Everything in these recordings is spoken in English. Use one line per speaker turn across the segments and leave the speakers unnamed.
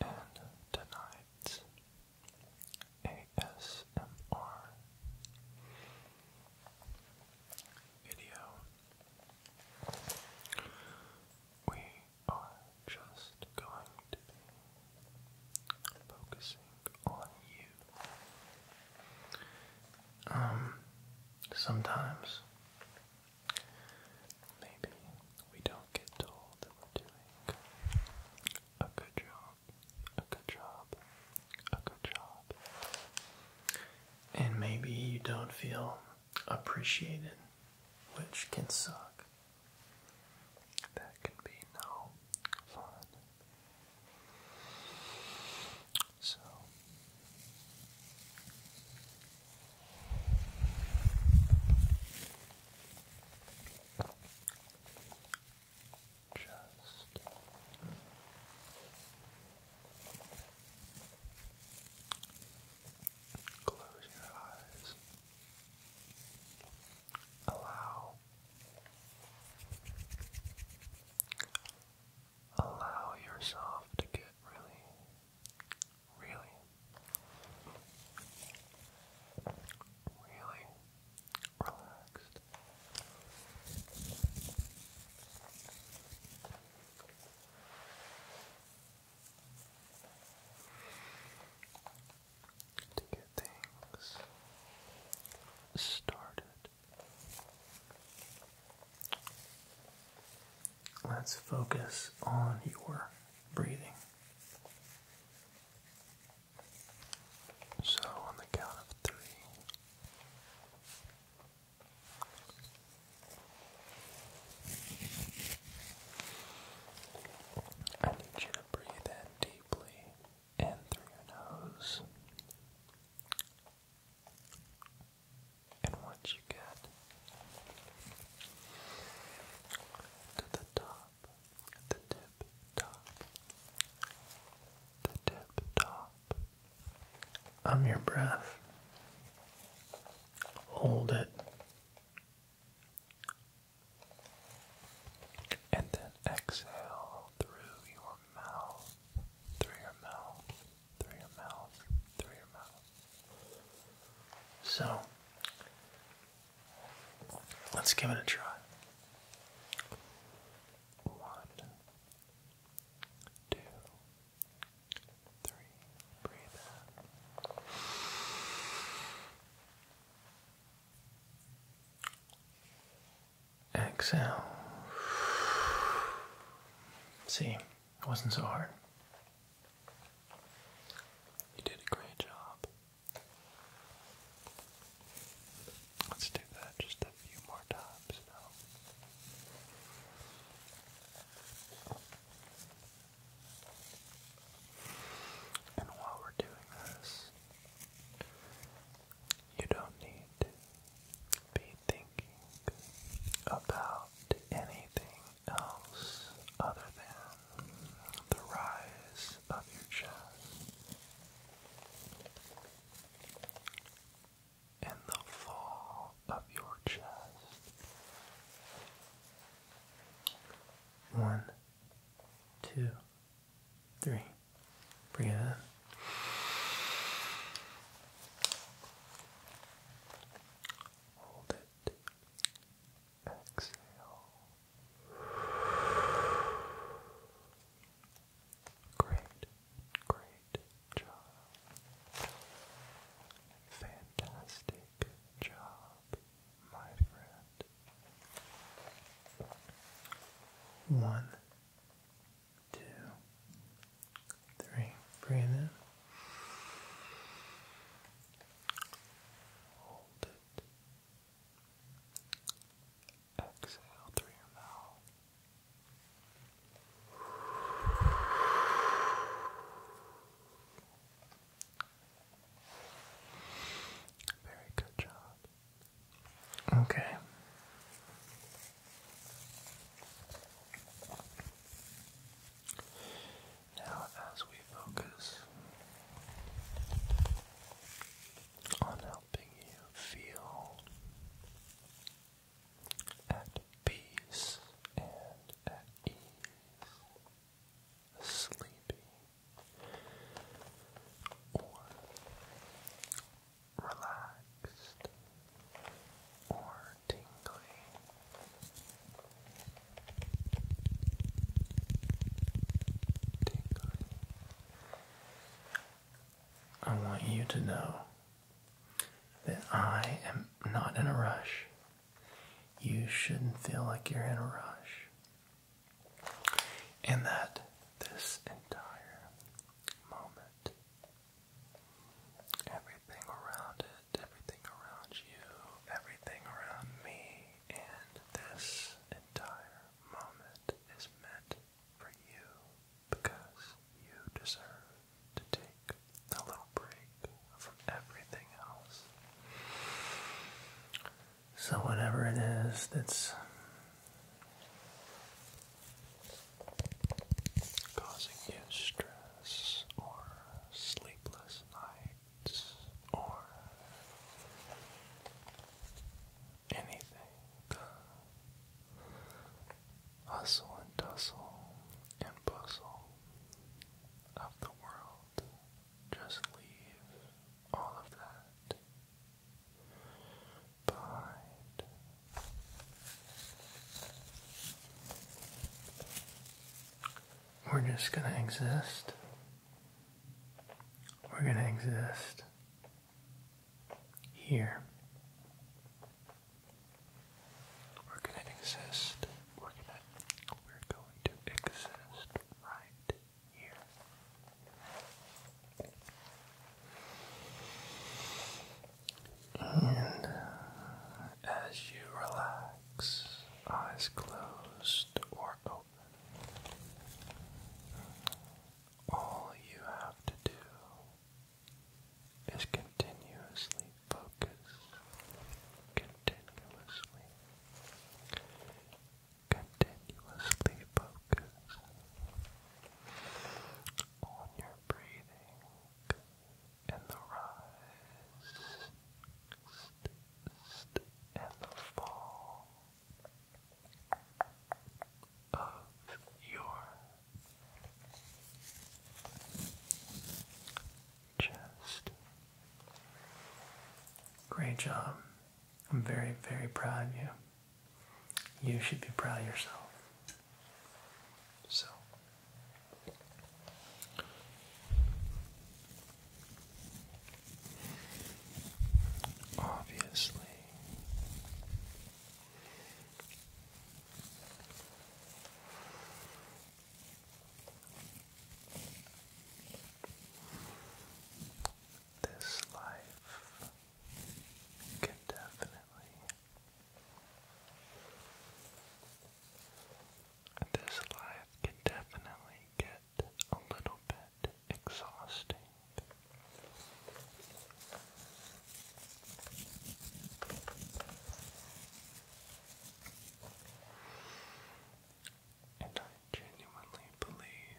and tonight's ASMR video, we are just going to be focusing on you. Um, sometimes maybe we don't get told that are doing a good job, a good job, a good job. And maybe you don't feel appreciated, which can suck. That can be no fun. So, just close your eyes. Allow. Allow yourself to get really Really? Really relaxed. To get things started, let's focus on your breathing. So, on the count of three, I need you to breathe in deeply and through your nose. And once you get to the top, the tip top, the tip top. I'm your breath. Hold it. And then exhale through your mouth, through your mouth, through your mouth, through your mouth. So, Let's give it a try. One, two, three. Breathe Exhale. See, it wasn't so hard. You did a great job. Let's do that just a few more times And while we're doing this, you don't need to be thinking about anything else other than the rise of your chest and the fall of your chest. One, two, three. Breathe Hold it. Exhale. Great, great job. Fantastic job, my friend. One, two, three. Breathe in. Hold Exhale through your mouth. Very good job. Okay. Now, as we focus on helping you feel at peace and at ease, sleepy or relaxed or tingly. I want you to know that I am not in a rush. You shouldn't feel like you're in a rush. And that this entire moment, everything around it, everything around you, everything around me, and this entire moment is meant for you because you deserve to take a little break from everything else. So, whatever it is that's causing you stress or sleepless nights or anything. Hustle and tussle and bustle of the world. Just leave all of that behind. We're just going to exist we're going to exist here. We're going to exist. We're going to we're going to exist right here. And as you relax, eyes closed or open, all you have to do is continuously focus, continuously, continuously focus on your breathing and the rise of your chest. Great job. I'm very, very proud of you. You should be proud of yourself. So, Obviously. This life can definitely, this life can definitely get a little bit exhausting. And I genuinely believe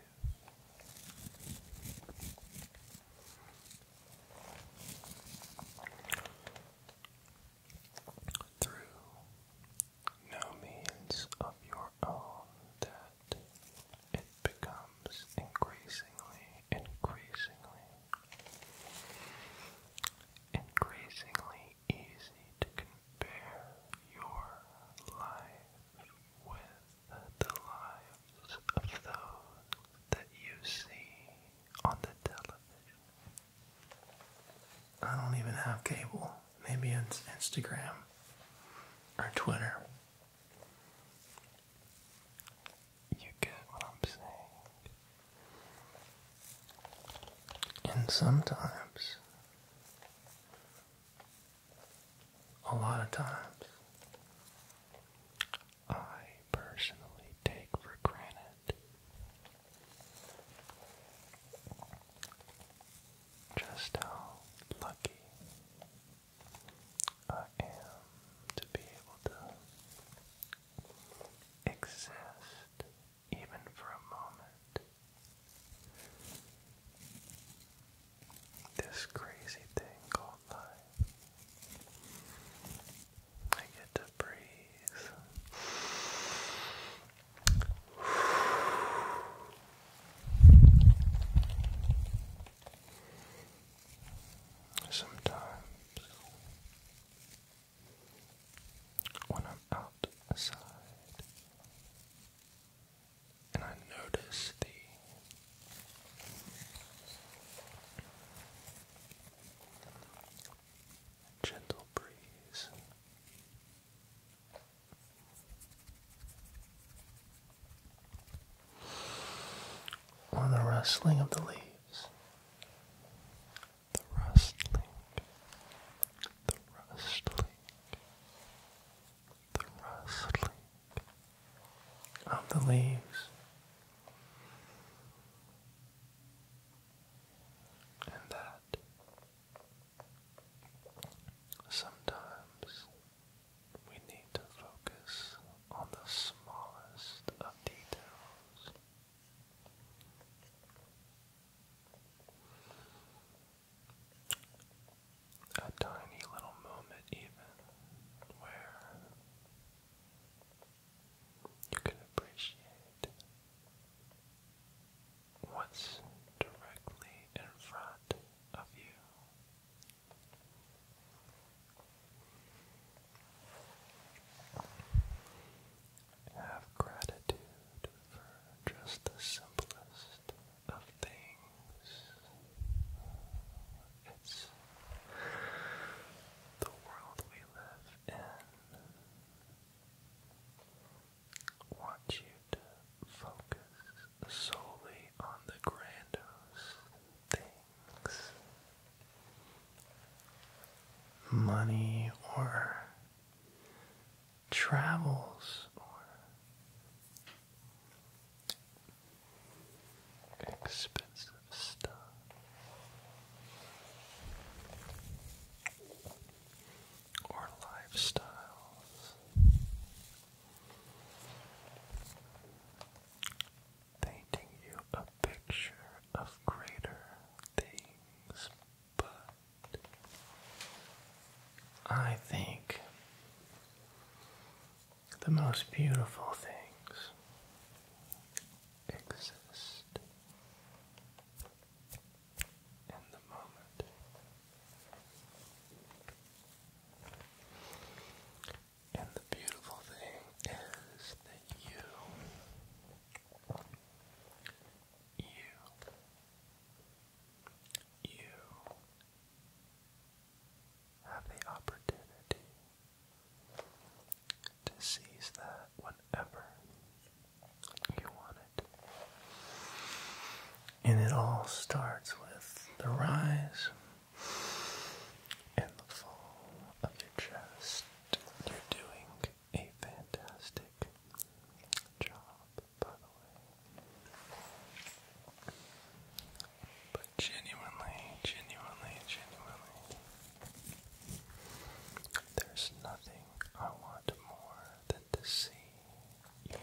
through no means of your own that it becomes increasingly, increasingly, increasingly easy to compare your life with the lives of those that you see on the television. I don't even have cable maybe it's Instagram or Twitter. You get what I'm saying. And sometimes, a lot of times, I personally take for granted just how lucky I am to be able to exist even for a moment. This crazy thing called life. I get to breathe. Sometimes when I'm outside and I notice the gentle breeze or the rustling of the leaves. The rustling. The rustling. The rustling of the leaves. And that Sometimes we need to focus on the smallest of details. A tiny little moment, even where you can appreciate what's directly in front of you. Have gratitude for just the simplest of things. It's the world we live in want you to focus solely on the grandiose things. Money or travels or expensive stuff or lifestyles. Painting you a picture of greater things, but I think the most beautiful things exist in the moment. And the beautiful thing is that you, you, you have the opportunity to seize that whenever you want it. And it all starts with the rise and the fall of your chest. You're doing a fantastic job, by the way. But genuinely, genuinely, genuinely, there's nothing I want more than to see you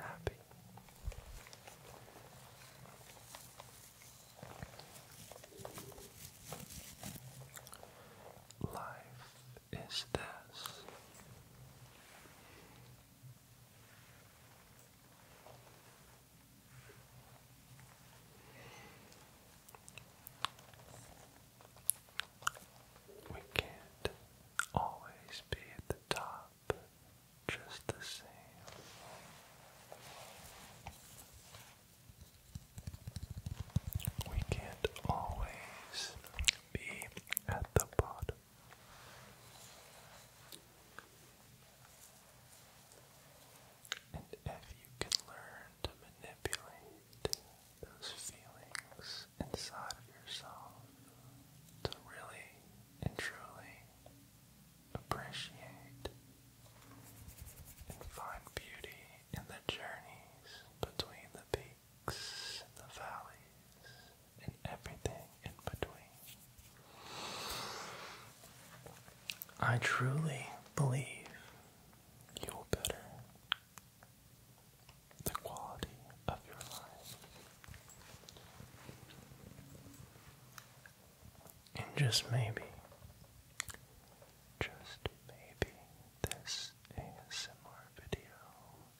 happy. Life is this. We can't always be at the top just the same. We can't always be at the bottom. And if you can learn to manipulate those feelings inside of yourself to really and truly appreciate and find beauty in the journeys between the peaks the valleys and everything in between. I truly believe you will better the quality of your life. And just maybe, just maybe, this ASMR video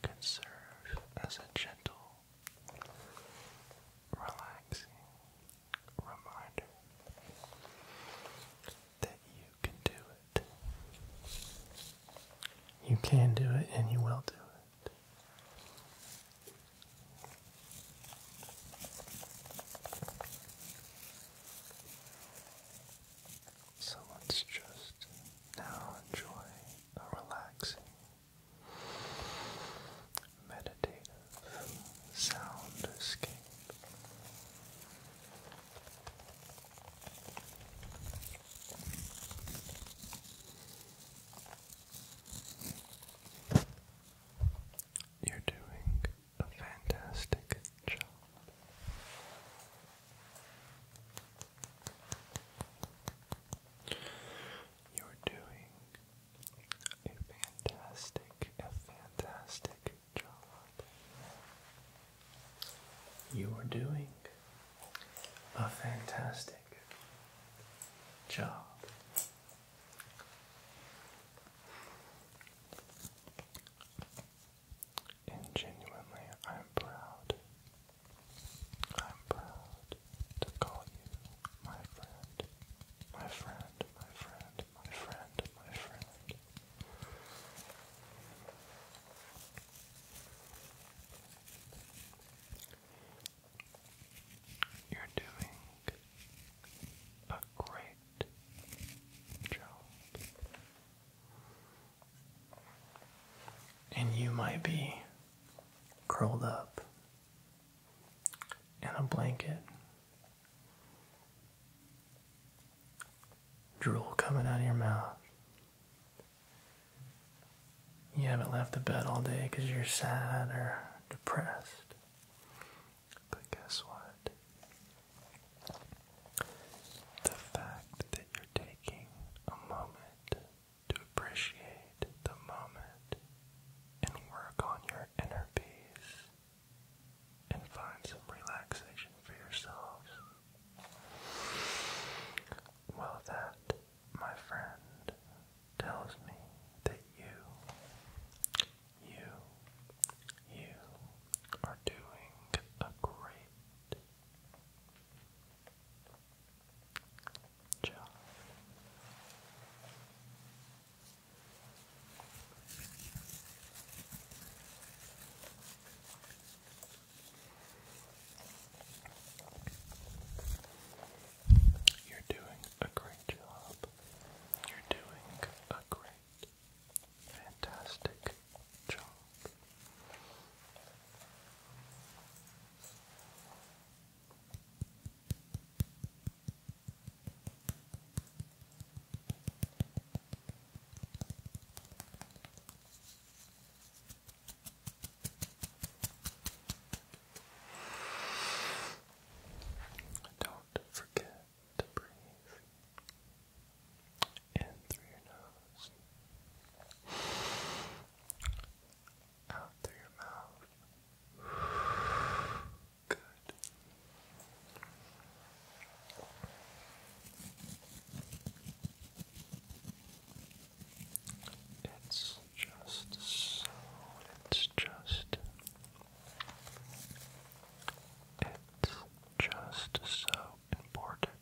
can serve as a gentle, relaxing reminder that you can do you can do it and you will do it. So let's just now enjoy a relaxing, meditative sound escape. You're doing a fantastic job. You're doing a fantastic, a fantastic job. You are doing a fantastic job. And genuinely, I'm proud. I'm proud to call you my friend, my friend, my friend, my friend, my friend. You're doing a great job. And you might be curled up in a blanket, drool coming out of your mouth. You haven't left the bed all day because you're sad or depressed. But guess what? The fact that you're taking a moment to appreciate the moment and work on your inner peace and find some relaxation for yourself well, that, my friend, tells me that you, you, you are doing a great job. You're doing a great job. You're doing a great, fantastic job. Don't forget to breathe in through your nose, out through your mouth. Good. It's just so, it's just, it's just so important.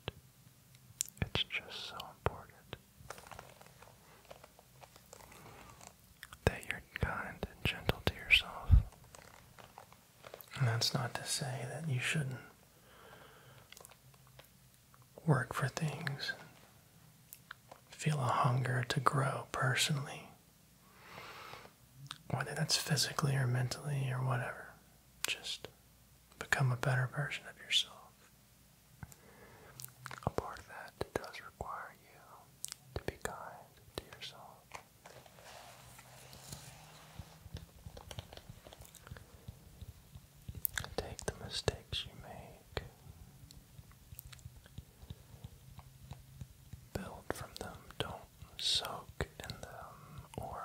It's just so important that you're kind and gentle to yourself. And that's not to say that you shouldn't work for things, feel a hunger to grow personally, whether that's physically or mentally or whatever. Just become a better version of yourself. A part of that does require you to be kind to yourself. Take the mistakes you make, build from them, don't soak in them or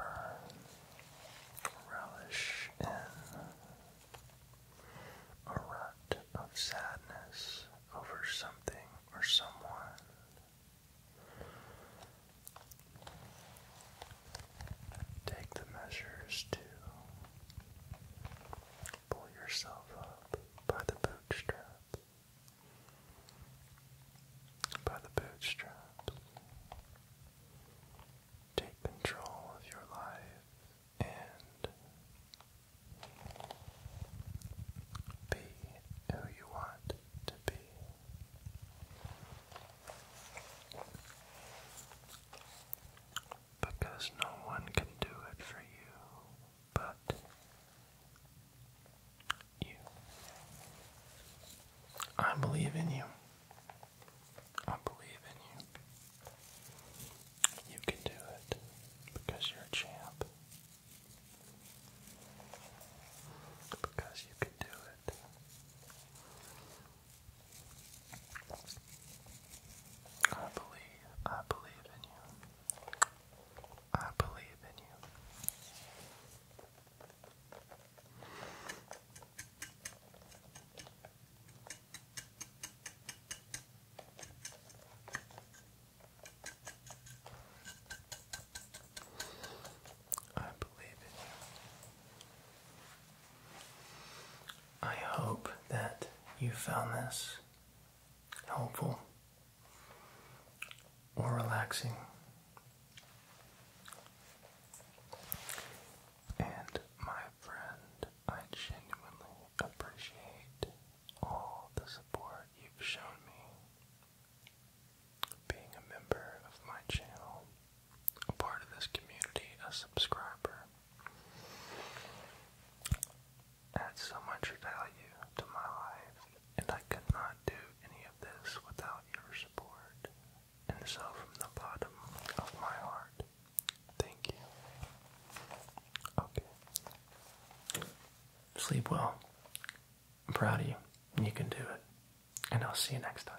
relish in a rut of sadness over something or someone take the measures to pull yourself up by the bootstrap, by the bootstraps. Take control of your life and be who you want to be because no one can do it for you but you. I believe in you. I believe in you. You can do it because you're a champ. Because you can do it. I believe, I believe in you. I believe in you. I believe in you. I hope that you found this helpful or relaxing. And my friend, I genuinely appreciate all the support you've shown me being a member of my channel a part of this community, a subscriber. Adds so much value to my life, and I could not do any of this without your support. And so, from the bottom of my heart, thank you. Okay. Sleep well. I'm proud of you. You can do it. And I'll see you next time.